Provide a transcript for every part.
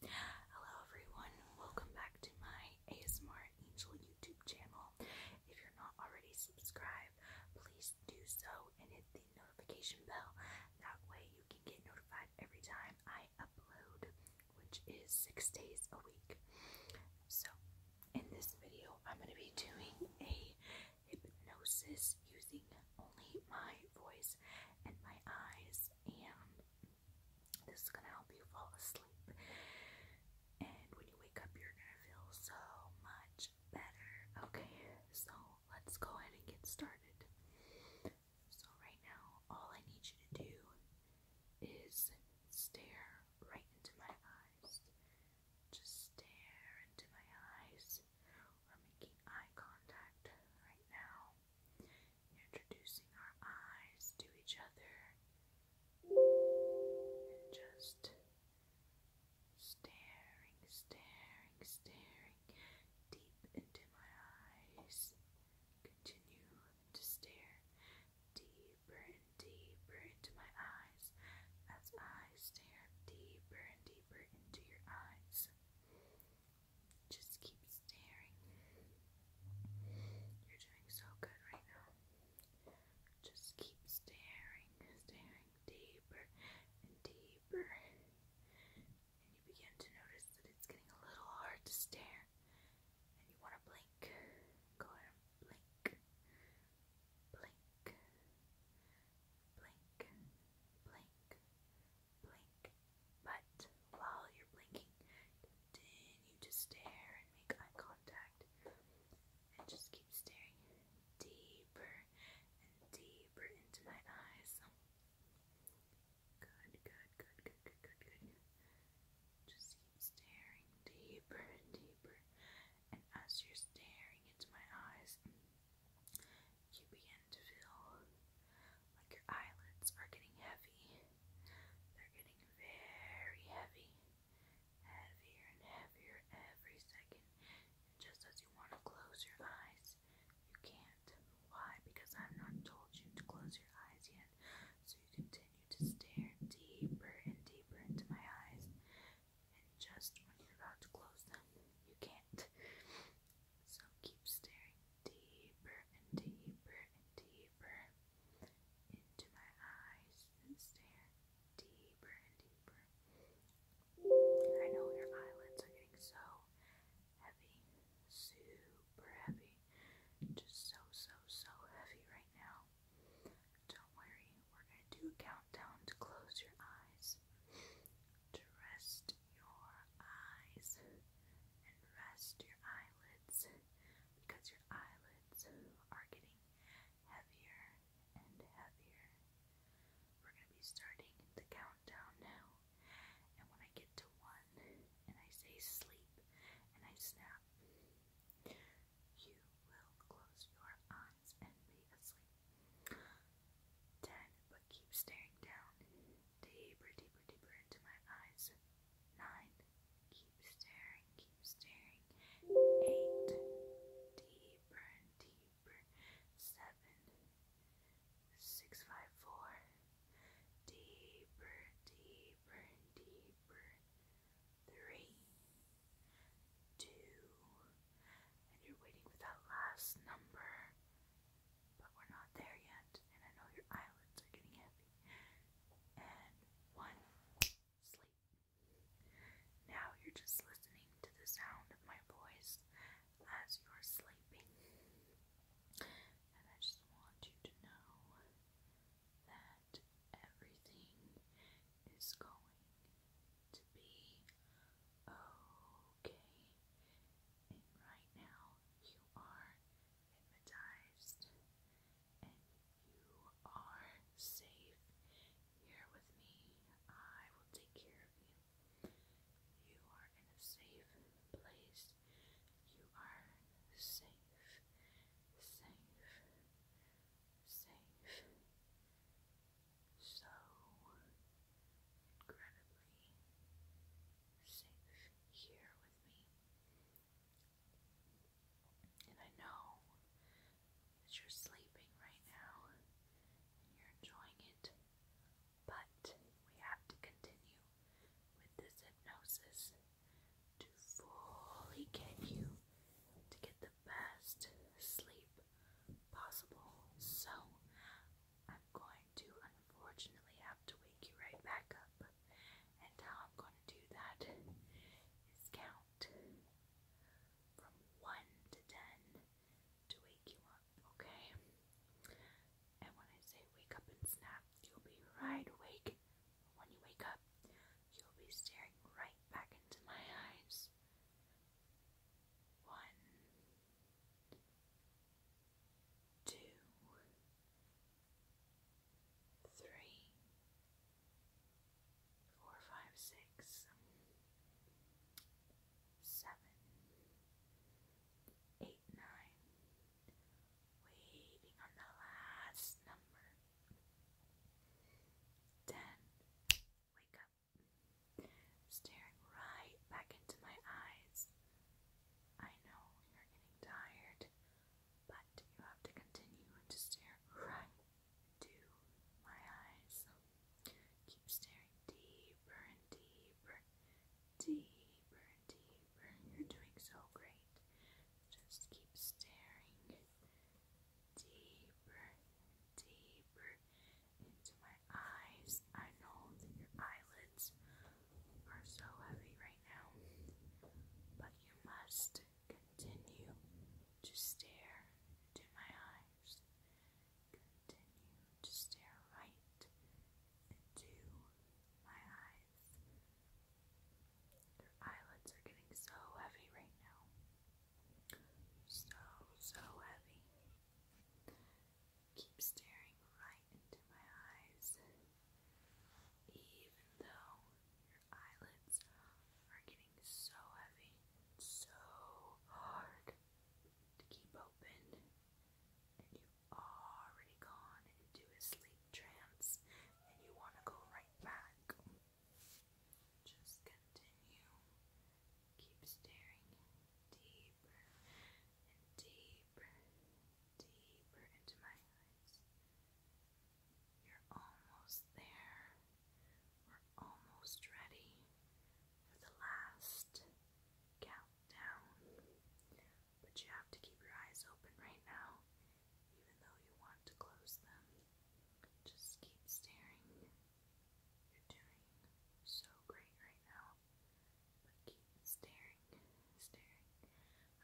Hello everyone, welcome back to my ASMR Angel YouTube channel. If you're not already subscribed, please do so and hit the notification bell. That way you can get notified every time I upload, which is six days a week. So in this video, I'm going to be doing a hypnosis using only my voice and my eyes and this is gonna help you fall asleep. And when you wake up, you're gonna feel so much better. Okay, so let's go ahead and get started. So, right now, all I need you to do is stare right into my eyes. Just stare into my eyes. We're making eye contact right now, introducing our eyes to each other, and just staring, staring, staring deep into my eyes. Continue to stare deeper and deeper into my eyes as I stare deeper and deeper into your eyes. Just keep staring. You're doing so good right now. Just keep staring, staring deeper and deeper. And you begin to notice that it's getting a little hard to stare. And you want to blink. Go blink. Blink blink, blink, blink. But while you're blinking, continue to stare and make eye contact. And just keep staring deeper and deeper into my eyes. Good, good, good, good, good, good, good. Just keep staring deeper and deeper. And as you're staring into my eyes, you begin to feel like your eyelids are getting heavy. They're getting very heavy, heavier and heavier every second. just as you want to close your eyes, you can't. Why? Because I've not told you to close your eyes yet. So you continue to stare deeper and deeper into my eyes and just when you're about to close them, you can't. So keep staring deeper and deeper and deeper into my eyes and stare deeper and deeper. I know your eyelids are getting so heavy, super heavy, just so, so, so heavy right now. Don't worry, we're going to do a countdown to close your eyes. To rest your eyes and rest your eyelids because your eyelids are getting heavier and heavier. We're going to be starting the countdown now. And when I get to one and I say sleep and I snap, you will close your eyes. Ten, but keep staring down, deeper, deeper, deeper into my eyes. Nine, keep staring, keep staring. Eight, deeper and deeper. Seven, six, five, four. Deeper, deeper, deeper three, two, and you're waiting for that last number, but we're not there yet, and I know your eyelids are getting heavy. And one, sleep. Now you're just listening to the sound of my voice as you're sleeping. And I just want you to know that everything is going to be okay. And right now, you are hypnotized and you are safe here with me. I will take care of you. You are in a safe place. You are safe safe, safe, so incredibly safe here with me. And I know that you're sleeping right now and you're enjoying it, but we have to continue with this hypnosis to fully get you to get the best sleep possible. So, I'm going to unfortunately have to wake you right back up. And how I'm going to do that is count from 1 to 10 to wake you up, okay? And when I say wake up and snap, you'll be right awake. When you wake up, you'll be staring right back into my eyes. One, two, three, four, five, six, seven, eight, nine. Waiting on the last number. Then wake up, staring right back into my eyes. I know you're getting tired, but you have to continue to stare right into my eyes. Keep staring deeper and deeper deeper and deeper. You're doing so great. Just keep staring deeper deeper into my eyes. I know your eyelids are so heavy right now, but you must continue to stare into my eyes. Continue to stare right into my eyes. Their eyelids are getting so heavy right now. So, so heavy. Keep staring right into my eyes, even though your eyelids are getting so heavy, so hard to keep open, you already gone into a sleep trance and you want to go right back, just continue. Keep staring deeper and deeper, deeper into my eyes. You're almost there. We're almost ready for the last count down. But you have to keep your eyes open right now, even though you want to close them. Just keep staring. You're doing so great right now. keep staring, staring.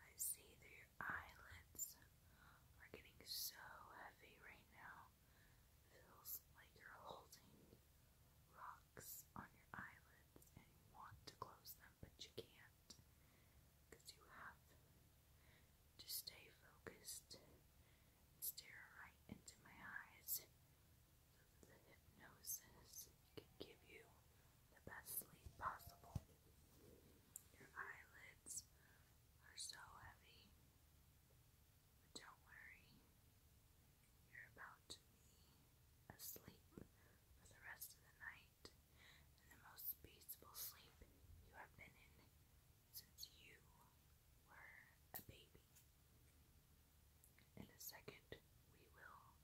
I see that your eyelids are getting so heavy right now. Feels like you're holding rocks on your eyelids and you want to close them, but you can't because you have to stay focused stare right into my eyes so the hypnosis can give you the best sleep possible. Your eyelids are so heavy but don't worry, you're about to be asleep for the rest of the night, and the most peaceful sleep you have been in since you were a baby. In a second, we will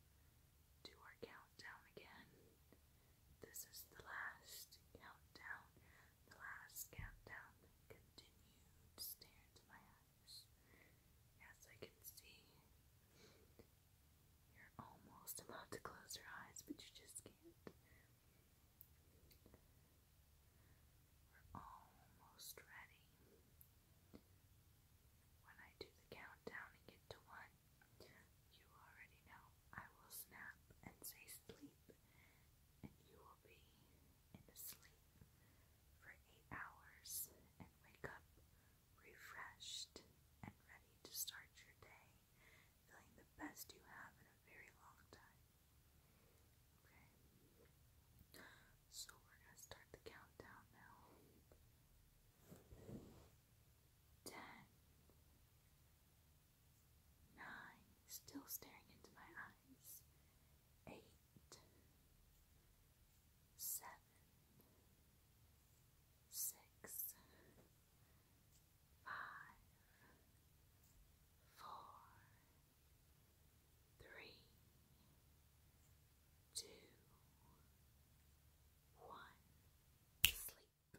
do our countdown again. This is the last countdown the last countdown continued stare into my eyes. As I can see, you're almost about to close your eyes, but you just can't. We're almost ready. When I do the countdown and get to one, you already know I will snap and say sleep, and you will be in sleep for eight hours and wake up refreshed and ready to start your day, feeling the best you have in a very long time. Okay, so we're going to start the countdown now. Ten, nine, still staring into my eyes, eight, seven, six, five, four, three, two, one, sleep.